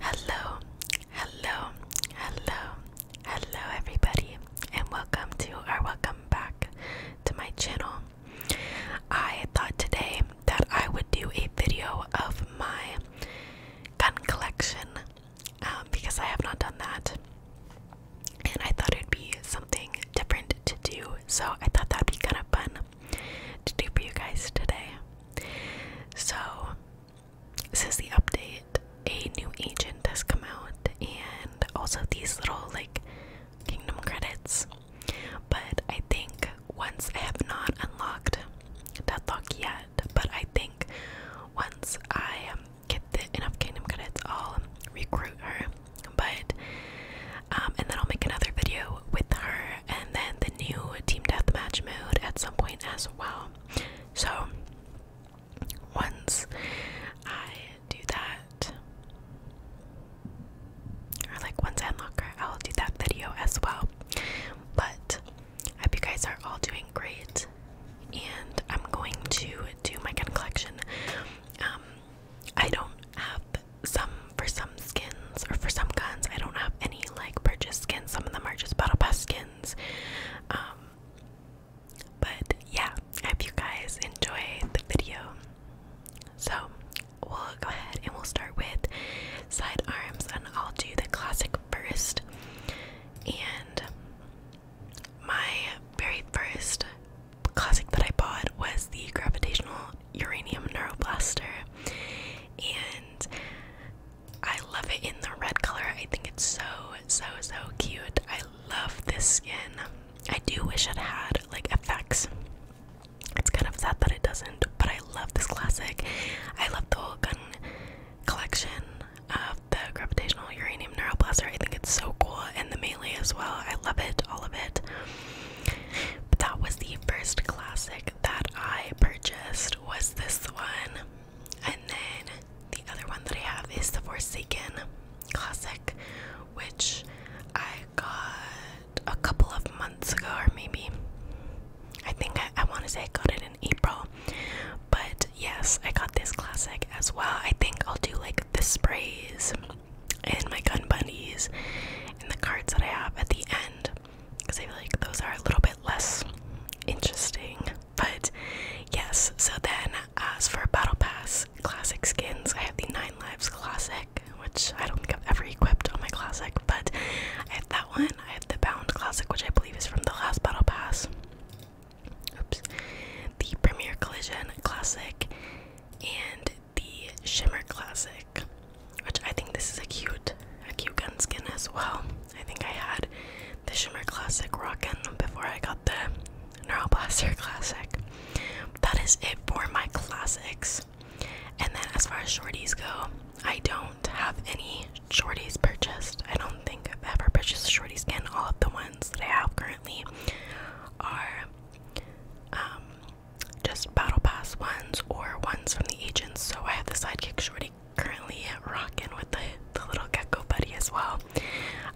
Hello, hello, hello, hello, everybody, and welcome to our welcome back to my channel. I thought today that I would do a video of my gun collection um, because I have not done that, and I thought it'd be something different to do, so I thought that'd be kind of fun to do for you guys today. So, this is the update, a new agent has come out, and also these little like kingdom credits. But I think once I have not unlocked Deathlock yet, but I think once I um, get the enough kingdom credits, I'll recruit her. But um, and then I'll make another video with her and then the new team deathmatch mode at some point as well. So once I do that, or like once I unlock her, I'll do that video as well. But I hope you guys are all doing great, and I'm going to do my gun collection. Um, I don't have some for some some skins or for some guns I don't have any like purchase skins. Some of them are just battle pass skins. Um, but yeah, I hope you guys enjoyed the video. So we'll go ahead and we'll start with side arms and I'll do the classic first. And my very first classic that I bought was the gravitational uranium neuroblaster. And I love it in the red color. I think it's so, so, so cute. I love this skin. I do wish it had like effects. It's kind of sad that it doesn't, but I love this classic. I love the whole gun collection of the gravitational uranium blaster. I think it's so cool, and the melee as well. I love it, all of it. But that was the first classic that I purchased was this one, and then the other one that I have is the Forsaken Classic, which I got a couple of months ago, or maybe I think I, I want to say I got it in April, but yes, I got this classic as well. I think I'll do like the sprays and my gun bunnies and the cards that I have at the end because I feel like those are a little bit less interesting. But yes, so then as for Battle Pass classic skins, I have the Nine Lives Classic, which I don't think I've ever equipped on my classic, but I have that one. I have the Bound Classic, which I believe is from the last Battle Pass. Oops. The Premier Collision Classic and the Shimmer Classic. Which I think this is a cute, a cute gun skin as well. I think I had the Shimmer Classic rocking before I got the Neural Blaster Classic. That is it for my classics. And then as far as shorties go, I don't have any shorties purchased. I don't think I've ever purchased a shorty skin. All of the ones that I have currently are um, just battle pass ones or ones from the agents. So I have the sidekick shorty currently rocking with the, the little gecko buddy as well.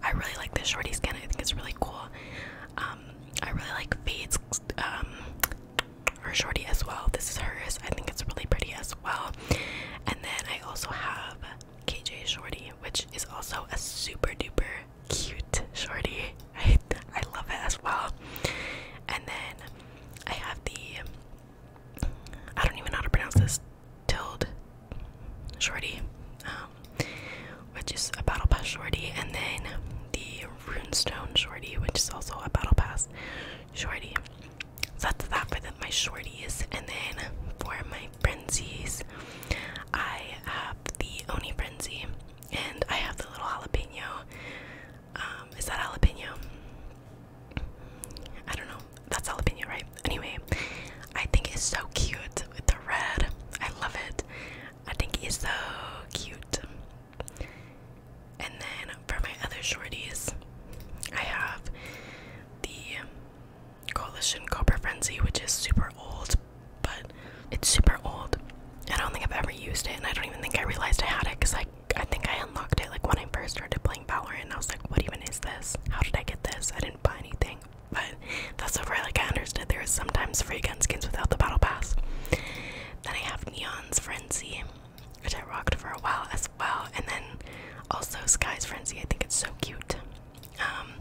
I really like this shorty skin, I think it's really cool. Um, I really like Fade's um, her shorty as well. This is hers, I think it's really pretty as well. And then I also have KJ Shorty, which is also a super duper cute shorty. I, I love it as well. And then I have the I don't even know how to pronounce this Tilled Shorty, um, which is a Battle Pass Shorty, and then the Runestone Shorty, which is also a Battle Pass Shorty. that's that for the, my shorties, and then for my frenzies, I have the Oni Frenzy, and I have the little jalapeno um, is that jalapeno? I don't know. That's jalapeno, right? Anyway, I think it's so cute with the red. I love it. I think it's so cute. And then for my other shorties, I have the Coalition Cobra Frenzy, which is super old, but it's super old. I don't think I've ever used it, and I don't even think I realized I had it because I I think I unlocked it like when I first started playing Valorant. I was like, what even is this? How did I get this? I didn't buy anything. But that's so far like I understood there is sometimes free gun skins without the battle pass. Then I have Neon's Frenzy, which I rocked for a while as well, and then also Sky's Frenzy. I think it's so cute. Um,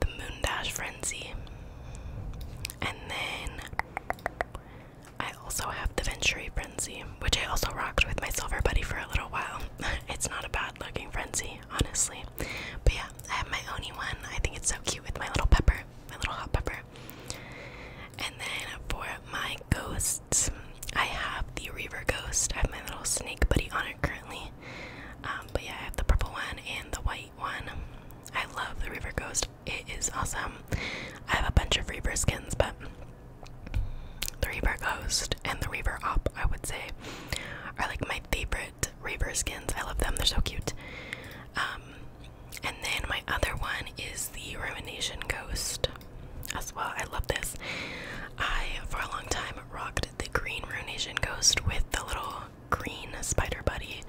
the Moon Dash Frenzy, and then I also have the Venturi Frenzy, which I also rocked with my silver buddy for a little while. it's not a bad looking frenzy, honestly. But yeah, I have my Oni one. I think it's so cute with my little pepper, my little hot pepper. And then for my ghosts, I have the Reaver Ghost. I have my little snake buddy on it currently. Um, but yeah, I have the purple one and the white one. I love the Reaver Ghost it is awesome. I have a bunch of reaver skins, but the reaver Ghost and the reaver Op, I would say, are like my favorite reaver skins. I love them, they're so cute. Um, and then my other one is the Rumination Ghost as well. I love this. I, for a long time, rocked the green Rumination Ghost with the little green spider buddy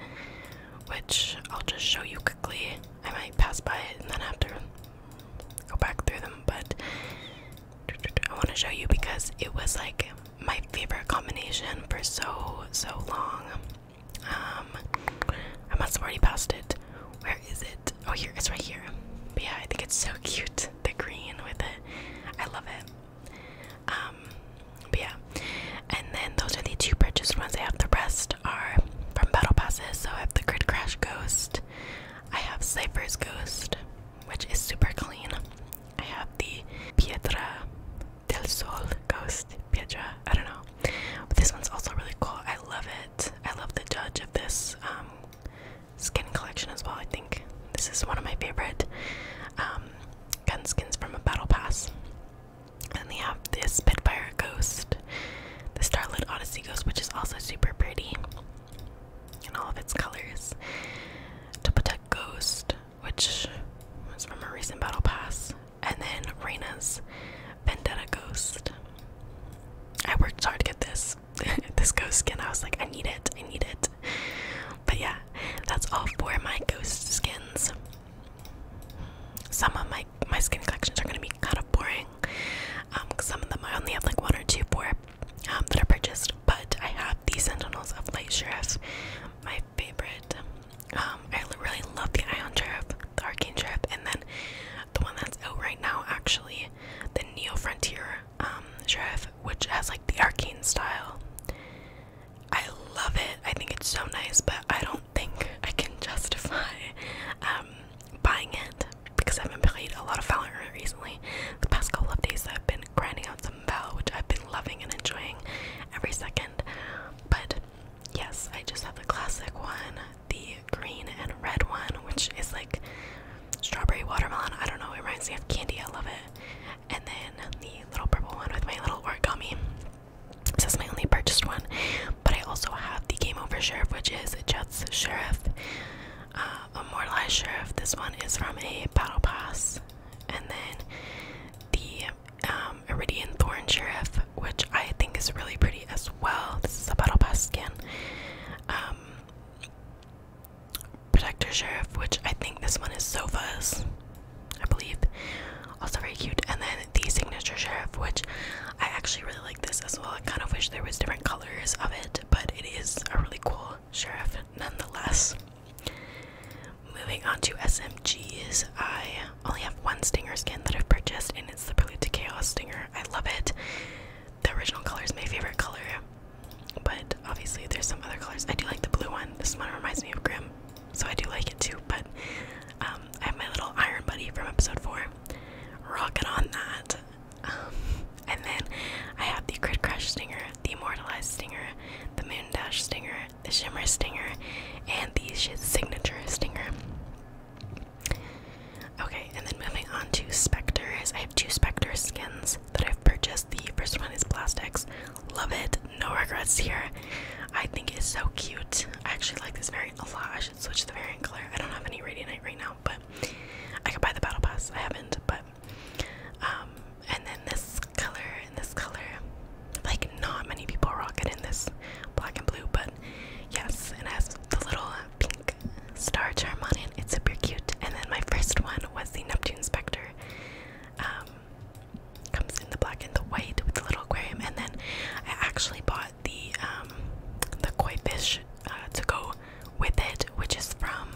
which I'll just show you quickly. I might pass by it and then have to go back through them, but I want to show you because it was like my favorite combination for so, so long. Um, I must have already passed it. Where is it? Oh, here, it's right here. yeah, I think it's so cute, the green with it. I love it. Um, but yeah, and then those are the two purchased ones I have. The rest are from Battle Passes. So I have the Grid Crash Ghost. I have Cypher's Ghost, which is super clean. I have the Piedra del Sol Ghost. Piedra, I don't know. But this one's also really cool. I love it. I love the judge of this um, skin collection as well. I think this is one of my favorite um, gun skins from a battle pass. And we have this Spitfire Ghost, the Starlit Odyssey Ghost, which is also super pretty in all of its colors. Topatech Ghost, which was from a recent Battle Pass. And then Reina's Vendetta Ghost. I worked hard to get this this ghost skin. I was like, I need it, I need it. But yeah, that's all for my ghost skins. Some of my my skin collections are gonna be kind of boring. Um, cause some of them I only have like one or two for um, that are purchased, but I have the Sentinels of Light Sheriff, my favorite. Um, I really love the Ion Sheriff, the Arcane Sheriff, and then the one that's out right now actually, the Neo Frontier um, Sheriff, which has like the arcane style. I love it. I think it's so nice, but I don't think I can justify um, buying it because I've been playing a lot of Valorant recently. The past couple of days, I've been grinding out some Val, which I've been loving and enjoying every second. But yes, I just have the classic one, the green and red one, which is like strawberry watermelon. I don't know, it reminds me of candy. I love it. And then the little purple one with my little origami. This is my only purchased one, but I also have the Game Over Sheriff, which is Jett's Sheriff, uh, Immortalized Sheriff. This one is from a Battle Pass, and then the um, Iridian Thorn Sheriff, which I think is really pretty as well. This is a Battle Pass skin. Um, Protector Sheriff, which I think this one is Sofa's. I believe. Also very cute. And then the signature sheriff, which I actually really like this as well. I kind of wish there was different colors of it, but it is a really cool sheriff nonetheless. Moving on to SMGs, I only have one stinger skin that I've purchased, and it's the Prelude to Chaos stinger. I love it. The original color is my favorite color, but obviously there's some other colors. I do like the blue one. This one reminds me of Grim so I do like it too. But um, I have my little iron buddy from episode four, rocking on that. Um, and then I have the Grid Crush Stinger, the Immortalized Stinger, the Moon Dash Stinger, the Shimmer Stinger, and the Signature Stinger. Okay, and then moving on to Spectres. I have two Spectre skins that I've purchased. The first one is Plastics. Love it no regrets here. I think it's so cute. I actually like this variant a lot. I should switch the variant color. I don't have any Radiant right now, but I could buy the Battle Pass. I haven't, but um, and then this color and this color. Like not many people rock it in this black and blue, but yes, it has the little uh, pink star charm on it. It's super cute. And then my first one was the Neptune Spectre. Um, comes in the black and the white with the little aquarium and then I actually bought the um the koi fish uh, to go with it which is from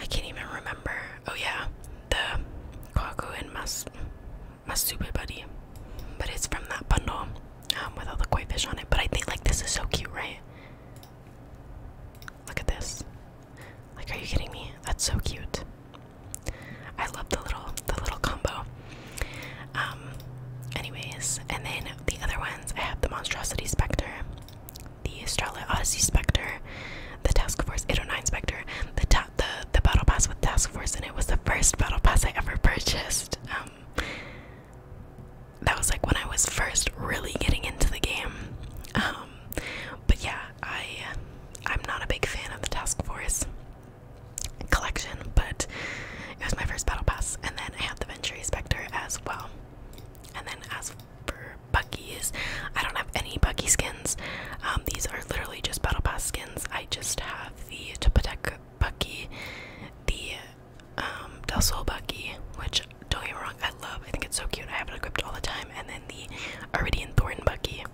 I can't even remember oh yeah the Kwaku and Mas Masube buddy but it's from that bundle um, with all the koi fish on it but I think like this is so cute right look at this like, are you kidding me? That's so cute. I love the little the little combo. Um, anyways, and then the other ones, I have the Monstrosity Spectre, the Starlight Odyssey Spectre, the Task Force 809 Spectre, the the the Battle Pass with Task Force, and it was the first Battle Pass I ever purchased. Um, that was like when I was first really getting into the game. Um, um, but yeah, I uh, I'm not a big fan of the Task Force collection, but it was my first battle pass, and then I had the Venture Spectre as well. And then as for Bucky's, I don't have any Bucky skins. Um, these are literally just battle pass skins. I just have the Topotec Bucky, the um, Del Sol Bucky, which don't get me wrong, I love. I think it's so cute. I have it equipped all the time. And then the Aridian Thorn Bucky,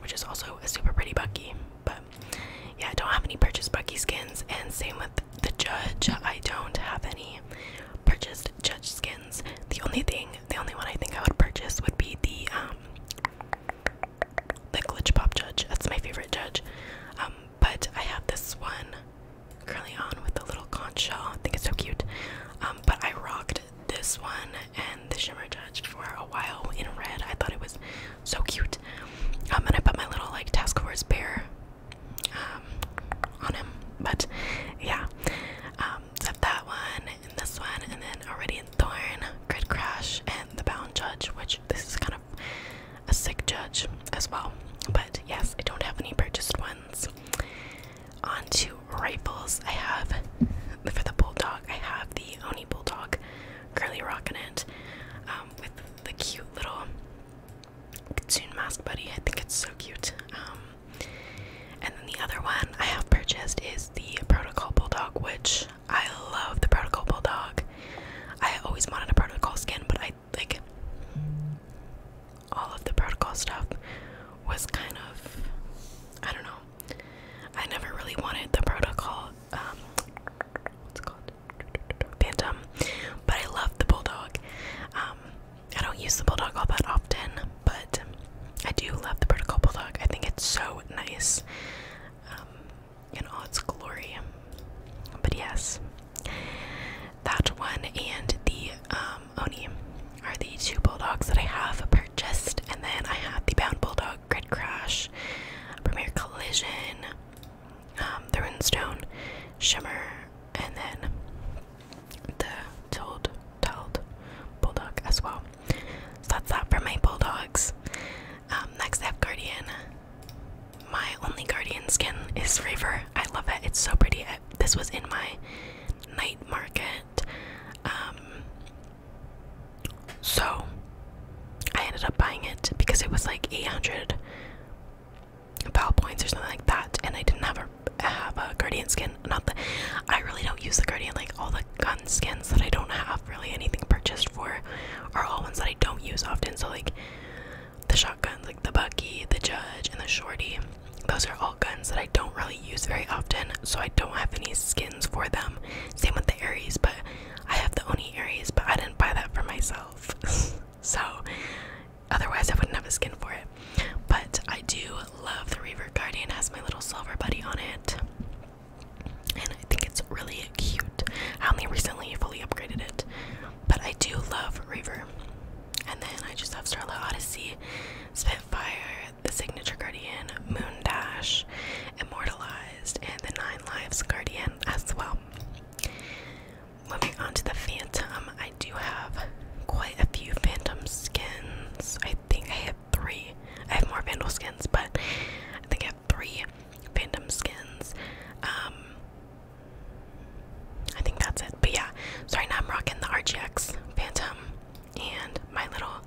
which is also a super pretty Bucky. But yeah, I don't have any purchased Bucky skins, and same with the Judge. I don't have any purchased Judge skins. The only thing, the only one I think I would purchase would be the um, the Glitch Pop Judge. That's my favorite Judge. Um, but I have this one currently on with the little conch shell. I think it's so cute. Um, but I rocked this one and the Shimmer Judge for a while in red. I thought it was so cute. I'm um, gonna put my little like task force bear um, on him. But yeah, Set um, that one and this one, and then already in Thorn, Grid Crash, and the Bound Judge, which this is kind of a sick judge as well. But yes, I don't have any purchased ones. Onto rifles, I have for the bulldog, I have the Oni Bulldog curly rock it um, with the cute little Kitsune mask buddy. I think it's so cute. Um, and then the other one I have purchased is the Protocol Bulldog, which I love the Protocol Bulldog. I always wanted a Protocol skin, but I like all of the Protocol stuff was kind of, I don't know, I never really wanted the protocol, um, what's called? Phantom. But I love the bulldog. Um, I don't use the bulldog all that often, but I do love the protocol bulldog. I think it's so nice um, in all its glory. But yes, that one and the um, Oni are the two bulldogs that I have purchased, and then I have the Bound Bulldog, Grid Crash, Premier Collision, um, Thrown Stone, Shimmer, and then the Told Told Bulldog as well. So that's that for my bulldogs. Um, next, I have Guardian. My only Guardian skin is Reaver. I love it. It's so pretty. this was in my night market um, so I ended up buying it because it was like 800 power points or something like that, and I didn't have a have a guardian skin. Not that I really don't use the guardian. Like all the gun skins that I don't have really anything purchased for are all ones that I don't use often. So like the shotguns, like the Bucky, the Judge, and the Shorty. Those are all guns that I don't really use very often, so I don't have any skins for them. Same with the Aries, but I have the Oni Aries, but I didn't buy that for myself. so otherwise I wouldn't have a skin for it. But I do love the Reaver Guardian, it has my little silver buddy on it. And I think it's really cute. I only recently fully upgraded it. But I do love Reaver. And then I just have Starlight Odyssey, Spitfire, the Signature Guardian, Moon Dash, Immortalized, and The Nine Lives Guardian as well. Moving on to the Phantom, I do have quite a few Phantom skins. I think I have three. I have more Vandal skins, but I think I have three Phantom skins. Um, I think that's it. But yeah, so right now I'm rocking the RGX Phantom and my little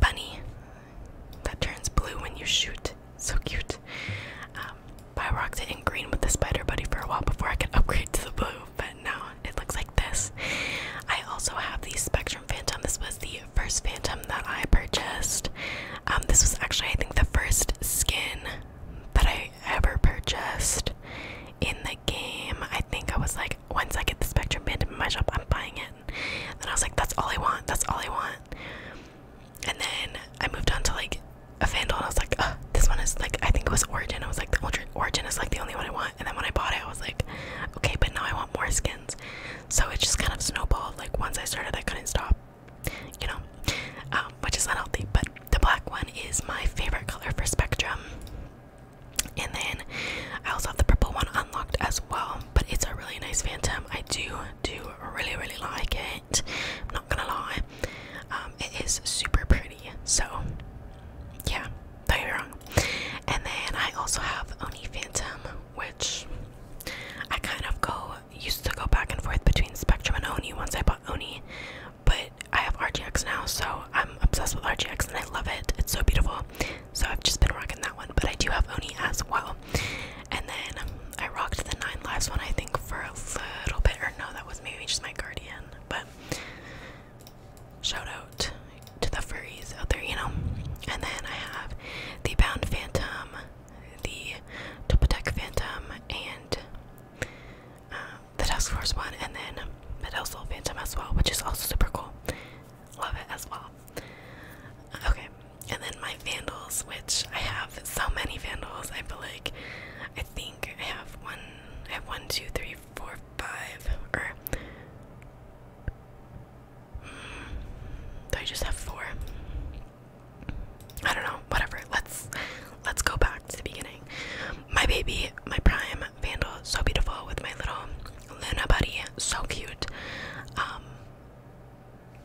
bunny that turns blue when you shoot. So cute. Um, but I rocked it in green with the spider buddy for a while before I could upgrade to the blue, but now it looks like this. I also have the Spectrum Phantom. This was the first Phantom that I purchased. Um, this was actually, I think, the first skin that I ever purchased in the game. I think I was like once I get the Spectrum band in my shop, I'm buying it. And then I was like, that's all I want. That's all I want. And then I moved on to like a Vandal, and I was like, this one is like I think it was Origin. I was like, the Origin is like the only one I want. And then when I bought it, I was like, okay, but now I want more skins. So it just kind of snowballed. Like once I started, I couldn't stop. You know, um, which is unhealthy. But the black one is my favorite color for Spectrum. And then I also have the purple one unlocked as well, but it's a really nice phantom. I do do really really like it. I'm not gonna lie, um, it is super pretty. So yeah, don't get me wrong. And then I also have Oni Phantom, which I kind of go used to go back and forth between Spectrum and Oni. Once I bought Oni, but I have RGX now, so I'm obsessed with RGX and I love it. It's so beautiful. So I've just been rocking that one, but I do have Oni as well. And then I rocked the Nine Lives one, I think, for a little bit, or no, that was maybe just my Guardian. But shout out to the furries out there, you know. And then I have the Bound Phantom, the Topotec Phantom, and um, the Task Force one, and then Metal Soul Phantom as well, which is also super cool. Love it as well. Okay, and then my Vandals, which I have so many Vandals. I feel like I think I have one. I have one, two, three, four, five, or mm, do I just have four? I don't know. Whatever. Let's let's go back to the beginning. My baby, my prime, Vandal, so beautiful with my little Luna buddy, so cute. Um,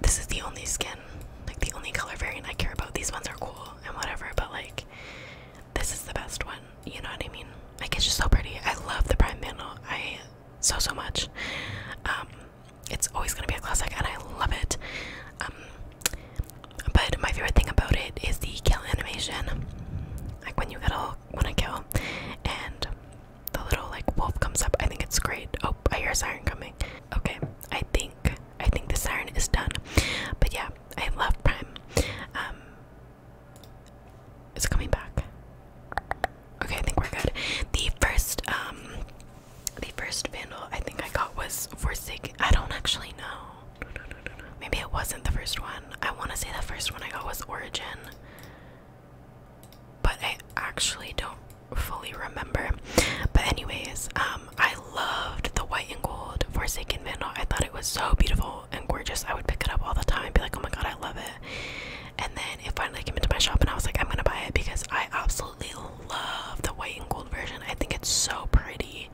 this is the only skin, like the only color variant I care about. These ones are cool and whatever, but like this is the best one. You know what I mean? Like it's just so pretty. I love the Prime Vandal. I so so much. Um, it's always gonna be a classic, and I love it. Um, but my favorite thing about it is the kill animation like when you get a when I kill, and the little like wolf comes up. I think it's great. Oh, I hear a siren coming. Okay, I think I think the siren is done. But yeah, I love Prime. Um, it's coming back. Okay, I think we're good. The first um, the first vandal I think I got was for Forsaken. I don't actually know. Maybe it wasn't the first one. I want to say the first one I got was Origin. But I actually don't fully remember. But, anyways, um, I loved the white and gold Forsaken Vandal. I thought it was so beautiful and gorgeous. I would pick it up all the time and be like, oh my god, I love it. And then it finally came into my shop, and I was like, I'm gonna buy it because I absolutely love the white and gold version. I think it's so pretty.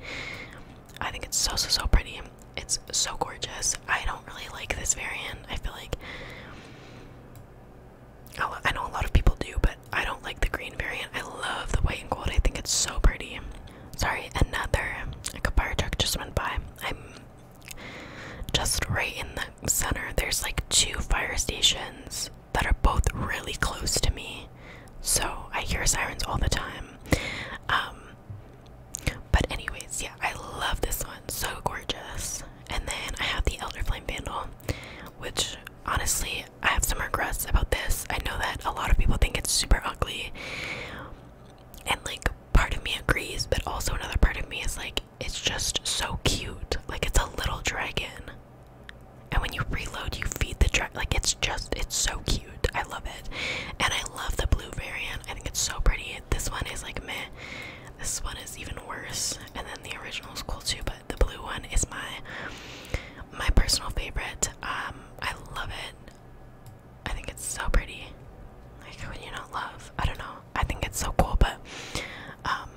I think it's so, so, so pretty. It's so gorgeous. I don't really like this variant. I feel like I know a lot of people do, but I don't like the green variant. I love the white and gold. I think it's so pretty. Sorry, another like a fire truck just went by. I'm just right in the center. There's like two fire stations that are both really close to me. So I hear sirens all the time. Um, but anyways, yeah, I love this one. So gorgeous. And then I have the Elder Flame Vandal, which honestly I have some regrets about this. I know that a lot of people think it's super ugly. And like part of me agrees, but also another part of me is like it's just so cute. Like it's a little dragon. And when you reload you feed the dragon like it's just it's so cute. I love it. And I love the blue variant. I think it's so pretty. This one is like meh. This one is even worse. And then the original is cool too, but the blue one is my my personal favorite. Um, I love it. I think it's so pretty. Like when you not love, I don't know. I think it's so cool, but um,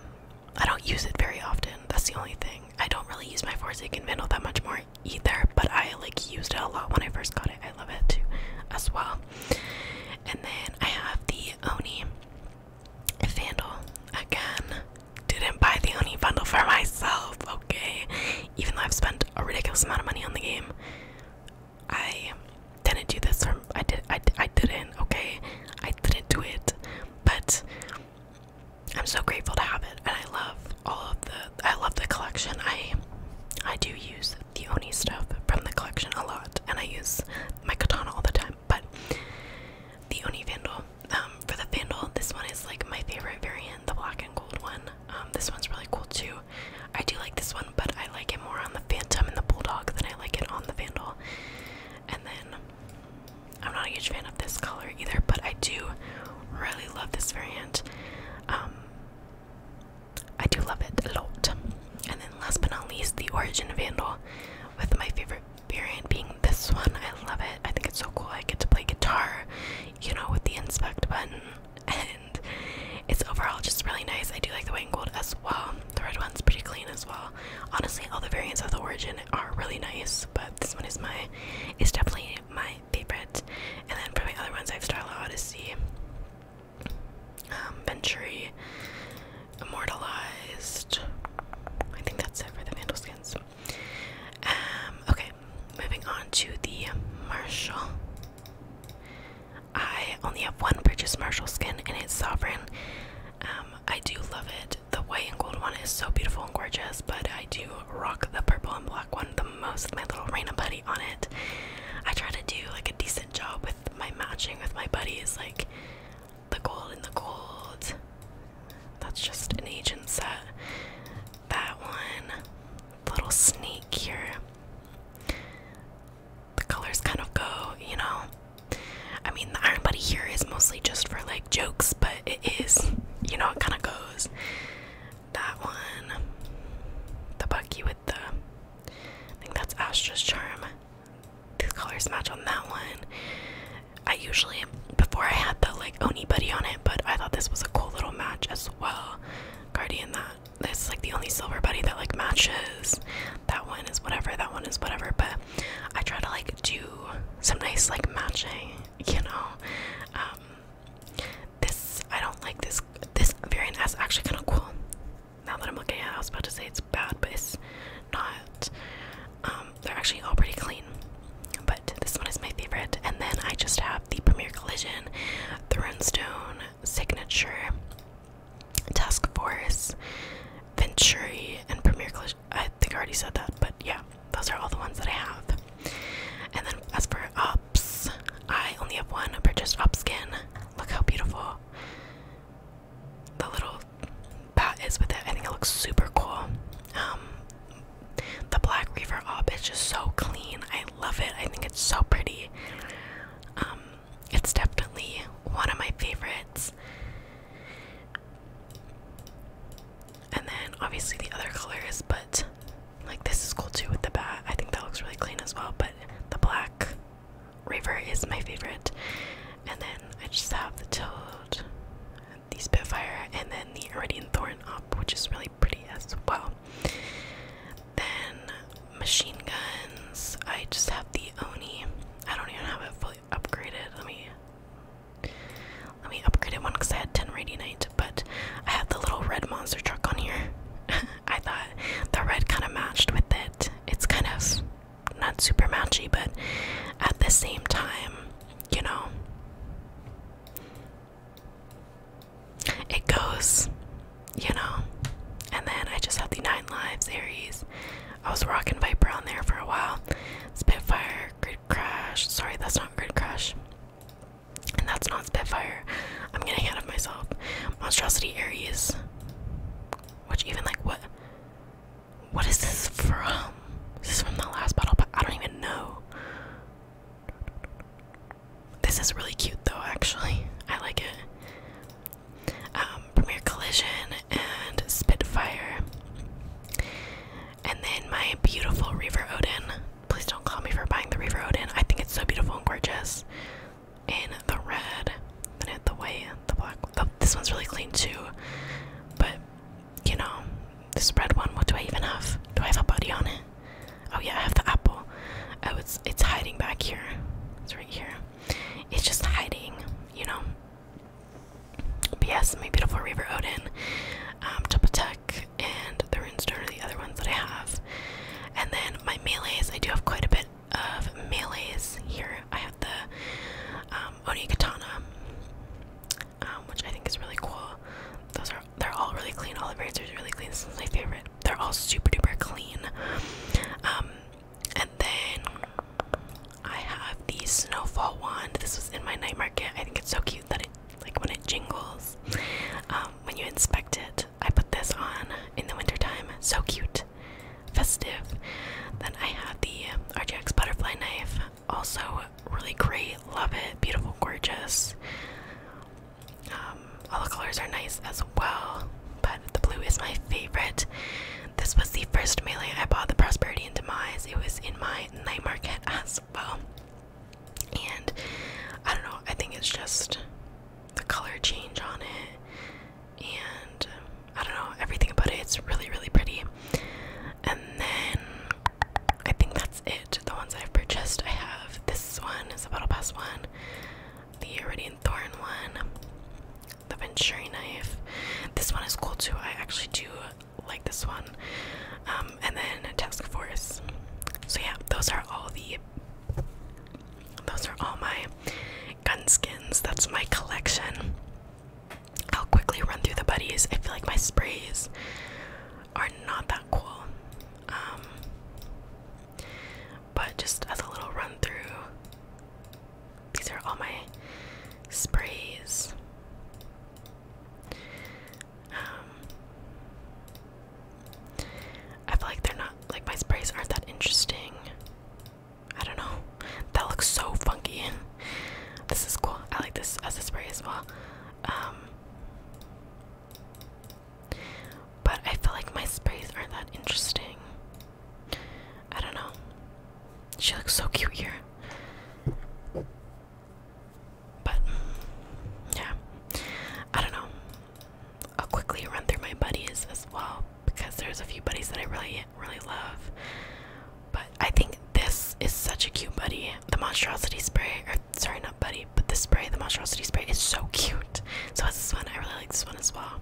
I don't use it very often. That's the only thing. I don't really use my can handle that much more either, but I like used it a lot when I first got it. I love it too, as well. And then I have the Oni Vandal again. Didn't buy the Oni bundle for myself, okay? Even though I've spent a ridiculous amount of money on the game, I didn't do this. I did. I, I didn't. Okay, I didn't do it. But I'm so grateful to have it, and I love all of the I love the collection. I I do use the Oni stuff from the collection a lot and I use my katana all the time. But the Oni Vandal. Um, for the Vandal, this one is like my favorite variant, the black and gold one. Um, this one's really cool too. I do like this one, but I like it more on the Phantom and the Bulldog than I like it on the Vandal. And then I'm not a huge fan of this color either, but I do really love this variant. Um, I do love it a lot. And then last but not least, the Origin Vandal, with my favorite variant being this one. I love it. I think it's so cool. I get to play guitar, you know, with the inspect button, and it's overall just really nice. I do like the white and gold as well. The red one's pretty clean as well. Honestly, all the variants of the Origin are really nice, but this one is my is definitely my my And then probably other ones, I have Starla Odyssey, um, Venturi, Immortalized. I think that's it for the Vandal skins. Um, okay, moving on to the Marshall. I only have one purchase Marshall skin, and it's Sovereign. Um, I do love it. The white and gold one is so beautiful and gorgeous, but I do rock the purple and black one the most, my little Raina buddy on it. I try to do like a decent job with my matching with my buddies, like the gold and the gold. That's just an agent set. That one, little snake here. The colors kind of go, you know. I mean, the Iron Buddy here is mostly just for like jokes, but it is, you know, it kind of goes. That one. The Bucky with the. I think that's Astra's Charm. These colors match on that one. I usually, before I had the like Oni Buddy on it, but I thought this was a cool little match as well. Guardian, that. This is like the only silver buddy that like matches. That one is whatever, that one is whatever, but I try to like do some nice like matching, you know. Um, this I don't like this. This variant is actually kind of cool. Now that I'm looking at, it, I was about to say it's bad, but it's not. Um, they're actually all pretty clean. But this one is my favorite. And then I just have the Premier Collision, the Runestone, Signature, Task Force, Venturi, and Premier Collision. I think I already said that, but yeah. Those are all the ones that I have. And then as for ups, I only have one. I purchased Upskin. Look how beautiful the little bat is with it. I think it looks super cool. Um, the Black Reaver up is just so clean. I love it. I think it's so pretty. Um, it's definitely one of my favorites. And then obviously the other colors, but like this is cool too with the bat. I think that looks really clean as well, but the black raver is my favorite. And then I just have the Toad, the Spitfire, and then the Iridian Thorn up, which is really pretty as well. Then machine guns. I just have the Oni. I don't even have it fully upgraded. Let me let me upgrade it one because I had 10 night, but I had the little red monster truck on here. I thought the red kind of matched with it. It's kind of not super matchy, but at the same time, you know, it goes, you know. And then I just had the Nine Lives Aries. I was rocking Viper on there for a while. Spitfire, Grid Crash. Sorry, that's not Grid Crash. And that's not Spitfire. I'm getting out of myself. Monstrosity Aries. Which even like what what is this from? This Is from the last bottle, but I don't even know. This is really cute though actually. I like it. Um Premier Collision and Spitfire. And then my beautiful Reaver Odin. Please don't call me for buying the Reaver Odin. I think it's so beautiful and gorgeous. In the red, then the white, the black. this one's really clean too. But, you know, this red one, what do I even have? Do I have a body on it? Oh yeah, I have the apple. Oh, it's, it's hiding back here. It's right here. It's just hiding, you know. But yes, my beautiful Reaver Odin. Um, Topotec, and the runestone are the other ones that I have. And then my melees, I do have quite a bit of melees here. I have the um, Oni Katana, um, which I think is really cool. Those are they're all really clean. All the razors are really clean. This is my favorite. They're all super duper clean. Um, and then I have the snowfall wand. This was in my night market. I think it's so cute that it like when it jingles um, when you inspect it i put this on in the wintertime so cute festive then i have the rgx butterfly knife also really great love it beautiful gorgeous um, all the colors are nice as well but the blue is my favorite this was the first melee i bought the prosperity and demise it was in my night market as well and I don't know, I think it's just the color change on it, and I don't know, everything about it, it's really, really pretty. And then I think that's it. The ones I've purchased, I have this one is a Battle Pass one, the Iridian Thorn one, the Venturi knife. This one is cool too. I actually do like this one, um, and then task force. So yeah, those are all the. Those are all my gun skins. That's my collection. I'll quickly run through the buddies. I feel like my sprays are not that cool. Um, but just as a little run through, these are all my sprays. Um, I feel like they're not like my sprays aren't that interesting. I don't know. That looks so funky. This is cool. I like this as a spray as well. Um, but I feel like my sprays aren't that interesting. I don't know. She looks so cute here. But mm, yeah, I don't know. I'll quickly run through my buddies as well because there's a few buddies that I really, really love. But I think this is such a cute buddy. The monstrosity spray, or sorry, not buddy, but the spray, the monstrosity spray is so cute. So it's this one. I really like this one as well.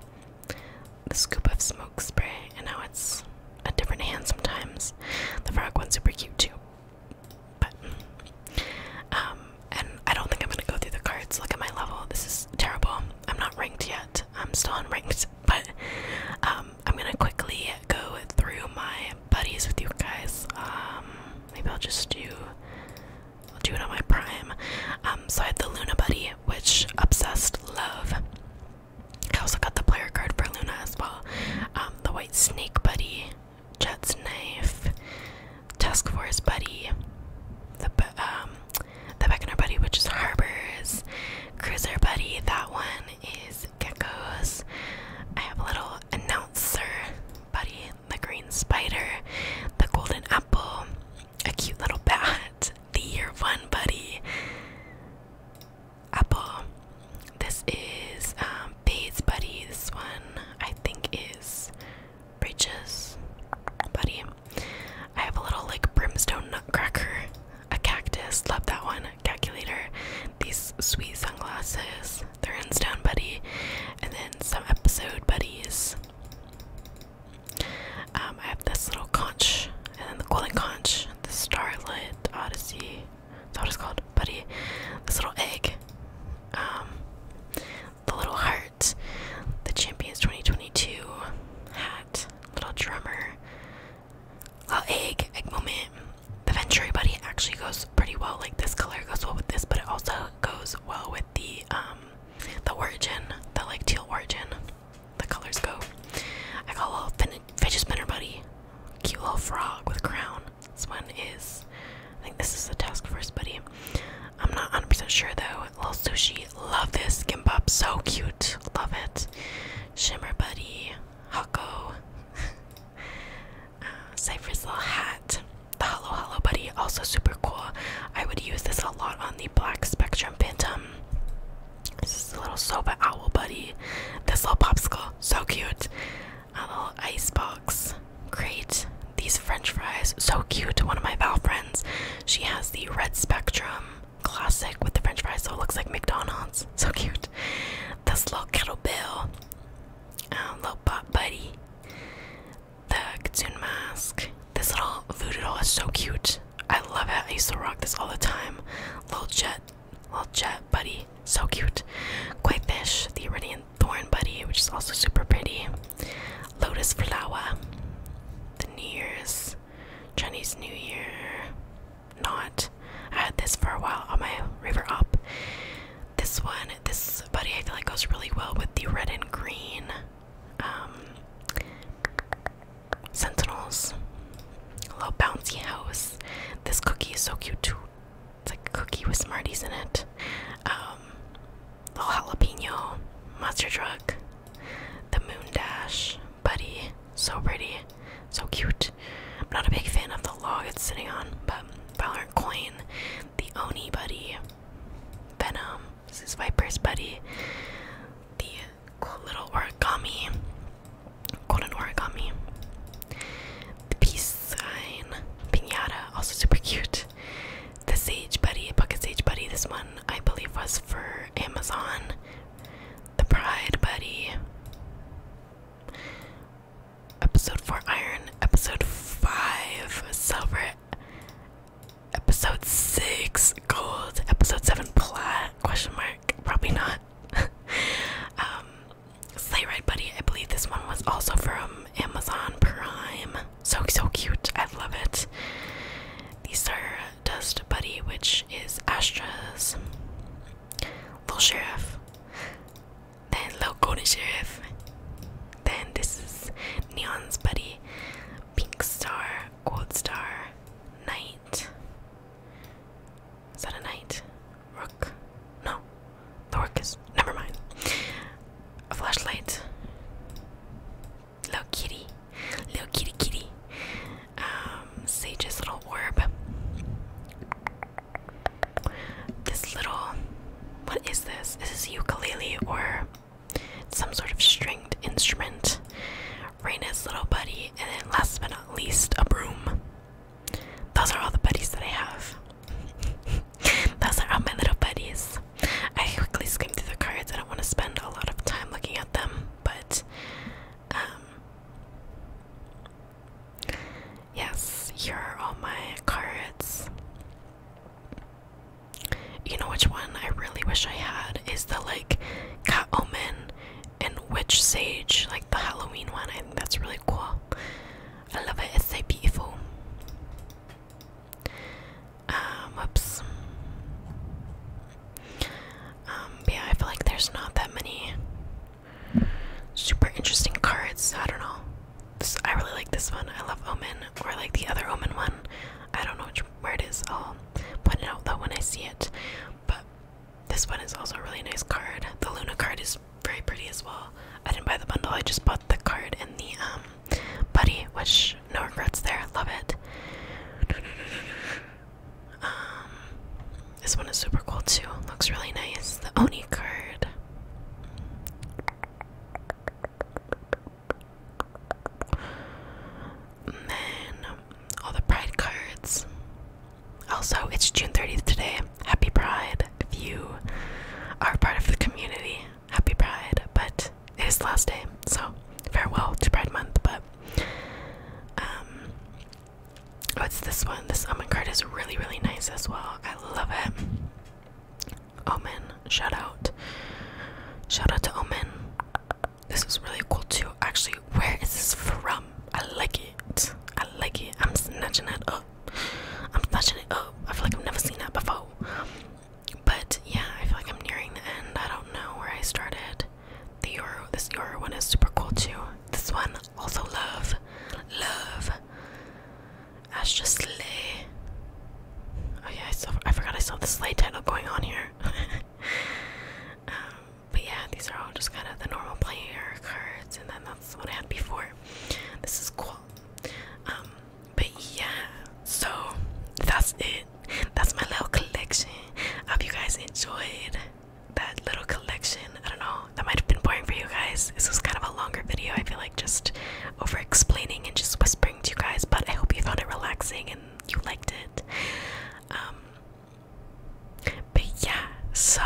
The scoop of smoke spray, and now it's a different hand sometimes. The frog one, super cute too but um and I don't think I'm gonna go through the cards. Look at my level. This is terrible. I'm not ranked yet. I'm still unranked, but um I'm gonna quickly go through my buddies with you guys. Um maybe I'll just do I'll do it on my prime. Um so I have the Luna buddy, which obsessed love. I also got the player card for Luna as well. Um the Snake Buddy, Jet's Knife, Task Force Buddy, the um, the Beckoner Buddy, which is Harbors, Cruiser Buddy. That one is Geckos. I have a little announcer buddy, the Green Spider, the Golden Apple, a cute little bat, the Year One Buddy. Apple. This is um, Bates Buddy. This one I think is Bridges Buddy. I have a little like brimstone nutcracker, a cactus. Love that one. Calculator. These sweet sunglasses. The are Stone Buddy. And then some episode buddies. Um, I have this little conch, and then the golden conch, the starlit odyssey, that's what it's called, buddy. This little egg, um, the little heart, the Champions 2022 hat, little drummer, little egg, egg moment. The Venturi buddy actually goes pretty well. Like this color goes well with this, but it also goes well with the um, the origin, the like teal origin. The colors go. I got a little fidget spinner buddy. Cute little frog with crown. This one is, I think this is the task force buddy. I'm not 100% sure though. Little sushi, love this. Gimbap, so cute, love it. Shimmer buddy, Hako. uh, Cypher's little hat. The Hello Hello buddy, also super cool. I would use this a lot on the Black Spectrum Phantom. This is a little soba owl buddy. This little popsicle, so cute. A little ice box crate. These French fries, so cute. One of my Val friends, she has the Red Spectrum classic with the French fries, so it looks like McDonald's. So cute. This little kettlebell, um, little bot buddy, the Kitsune mask. This little voodoo doll is so cute. I love it. I used to rock this all the time. Little jet Little jet buddy, so cute. Koi fish, the Iridian thorn buddy, which is also super pretty. Lotus flower, the New Year's, Chinese New Year, not. I had this for a while on my river up. This one, this buddy, I feel like goes really well with the red and green um, sentinels little bouncy house. This cookie is so cute too. It's like a cookie with Smarties in it. Um, little jalapeno, monster truck, the moon dash, buddy. So pretty, so cute. I'm not a big fan of the log it's sitting on, but Valorant coin, the Oni buddy, Venom. This is Viper's buddy. The cool little origami golden origami. The peace sign, pinata, also super cute. The sage buddy, pocket sage buddy. This one I believe was for Amazon. The pride buddy. Episode four iron. Episode five silver. Episode six gold. Episode seven plat. Question mark. Probably not. Um, Sleigh Ride Buddy, I believe this one was also from Amazon Prime. So, so cute. I love it. These are Dust Buddy, which is Astra's little sheriff. Then Little Golden Sheriff. Then this is Neon's Buddy, Pink Star, Gold Star, Night. Is that a knight? Rook? No. The rook is. Never mind. A flashlight. Little kitty. Little kitty kitty. Um, Sage's little orb. This little. What is this? Is this ukulele or some sort of stringed instrument? Raina's little buddy, and then last but not least, a broom. Those are all the buddies that I have. Those are all my little buddies. I quickly skim through the cards. I don't want to spend a lot of time looking at them, but um, yes, here are all my cards. You know which one I really wish I had is the like cat omen and Witch Sage, like the Halloween one. I think that's really cool. I love it. It's so beautiful. Um, whoops. Um, yeah, I feel like there's not that many super interesting cards. I don't know. I really like this one. I love Omen, or like the other Omen one. I don't know which, where it is. I'll point it out though when I see it. But this one is also a really nice card. The Luna card is very pretty as well. I didn't buy the bundle, I just bought the card and the um buddy, which no regrets there. Love it. Um this one is super cool too. Looks really nice. The Oni card. And then all the pride cards. Also, it's June 30th today. Happy Pride. If you are part of the community, happy Pride. But it is the last day, so farewell to Pride Month. But, um, what's this one? This Omen card is really, really nice as well. I love it. Omen, shout out. Shout out to Omen. This is really cool too. Actually, where is this from? I like it. I like it. I'm snatching that up. I'm snatching it up. I feel like I've never seen that before. But yeah, I feel like I'm nearing the end. I don't know where I started. The Euro, this Euro one is super cool too. This one also love, love. Astra Slay. Oh yeah, I, saw, I forgot I saw the Slay title going on here. um, but yeah, these are all just kind of the normal playing cards, and then that's what I had before. This is cool. Um, but yeah, so that's it. That's my little collection. I hope you guys enjoyed that little collection. I don't know, that might have been boring for you guys. This was kind of a longer video, I feel like just over explaining and just whispering to you guys, but I hope you found it relaxing and you liked it. Um, but yeah, so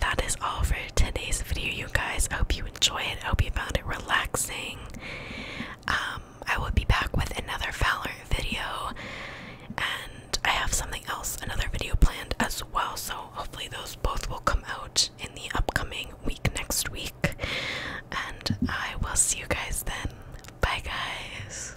that is all for today's video, you guys. hope you enjoy it. hope you found it relaxing. Um, I will be back with another Valorant video, and I have something else, another video planned as well. So hopefully those both will come out in the upcoming week next week. And I will see you guys then. Bye, guys.